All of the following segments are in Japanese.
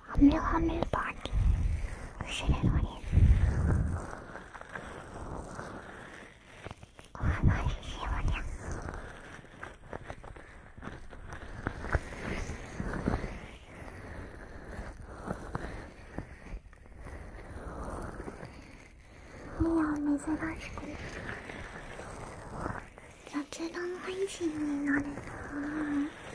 ハムハムパーティーするのですおしようじゃミ珍しく雑談配信になるなぁ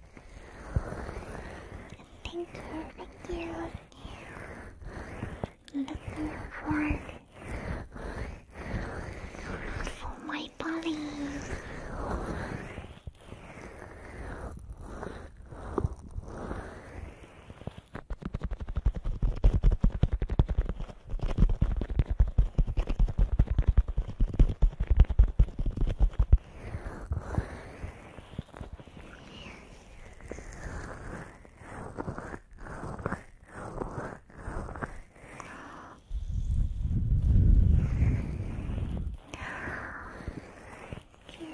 Thank you, thank you. Looking forward for my body. ゲー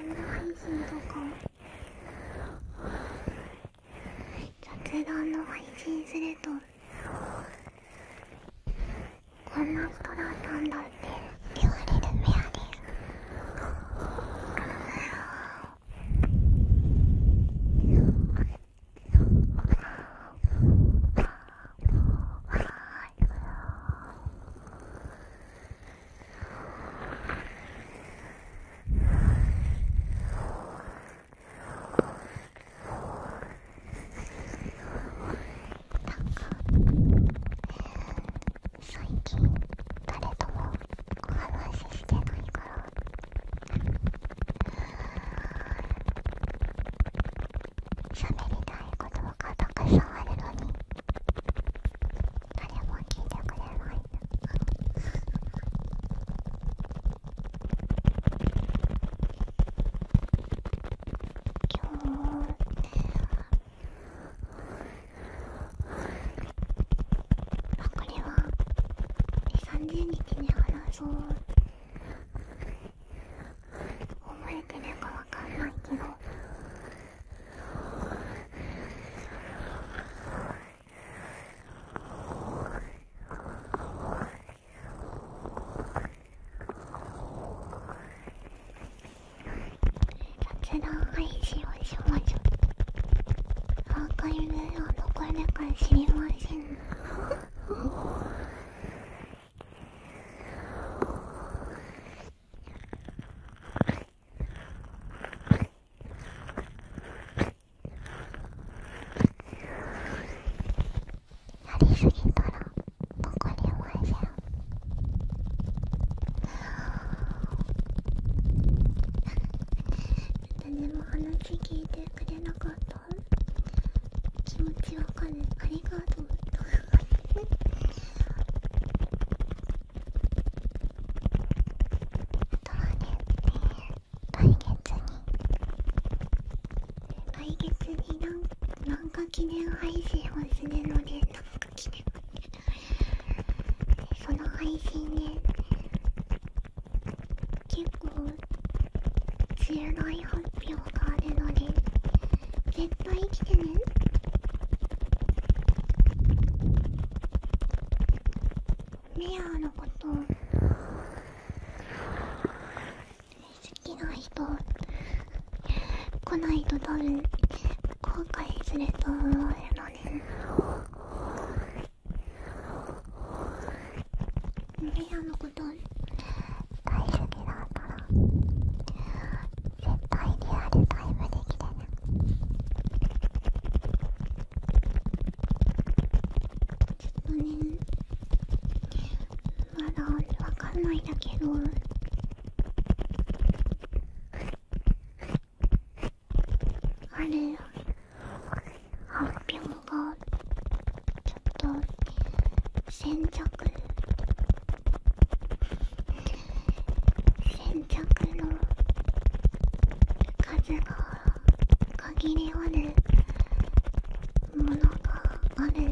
ム配信とかも雑談の配信するとこんな人なんだって言われる部屋です。なか、最近誰ともお話ししてないから。喋りたいことがたくさんあるのに誰も聞いてくれない今日あこれは30日に話そう覚えてるかわかんないけど雑談配信をしましょうアーカイブはどこでか知りませんやりすぎたらボコリまれちゃも話聞いてくれなかった気持ちわかるありがとうあとはね、来月に来月になんか。なんか記念配信忘れるので、なんか記念その配信ね、結構強い発表があるので、絶対来てね。メアのこと好きな人来ないと多分後悔すると思うのねミラのこと大好きだったら絶対リアルタイムできてねちょっとねまだわかんないんだけどある発表がちょっと先着先着の数が限りあるものがある…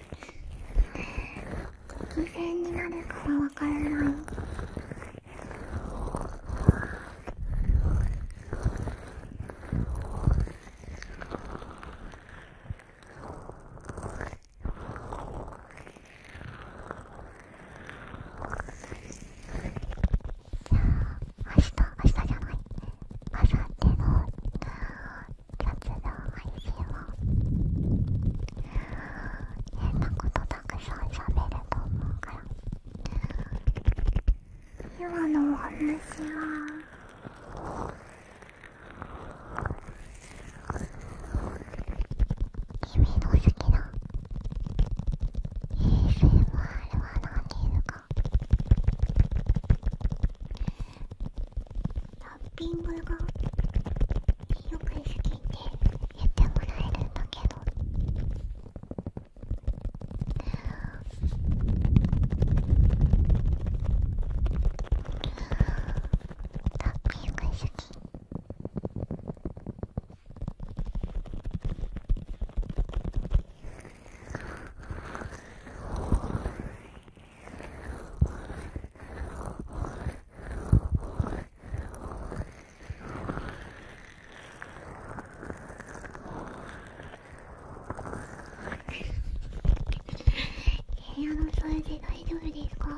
偶然になるからわからないあ、明日、明日じゃない。明っての雑談配信は変なことたくさんしゃべると思うから今のお話は君の好きな ASMR は何ですかラッピングがよく好きでやってもらえるんだけどラッピング好き。部屋の掃除大丈夫ですか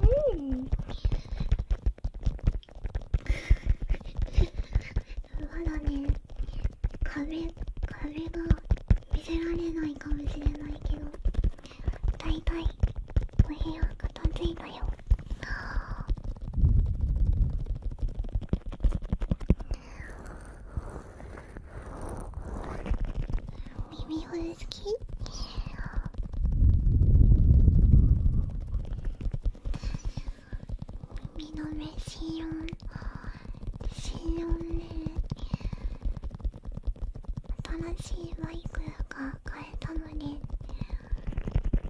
うんまだね壁壁が見せられないかもしれないけどだいたいお部屋片付いたよ耳ほ好き耳の目シオンシオンね新しいマイクが買えたので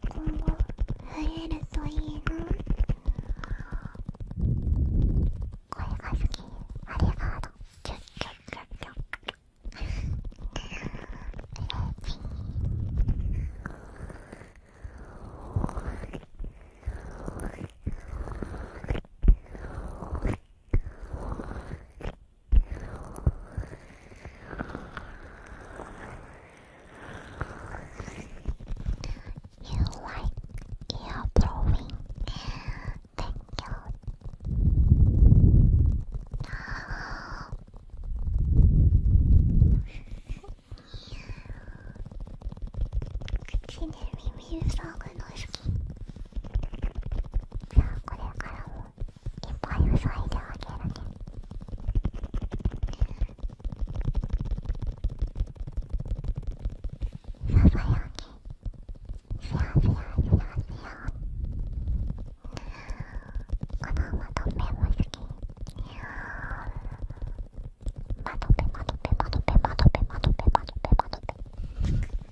今後増えるといいな声が好きありが You like ear blowing? Thank you. Considering ビールサークルの好きじゃあこれからもいっぱい塞いであげるねささやきシャーシャーシャーシャーこのまとめも好きまとぺまとぺまとぺまとぺまとぺまとぺまとぺ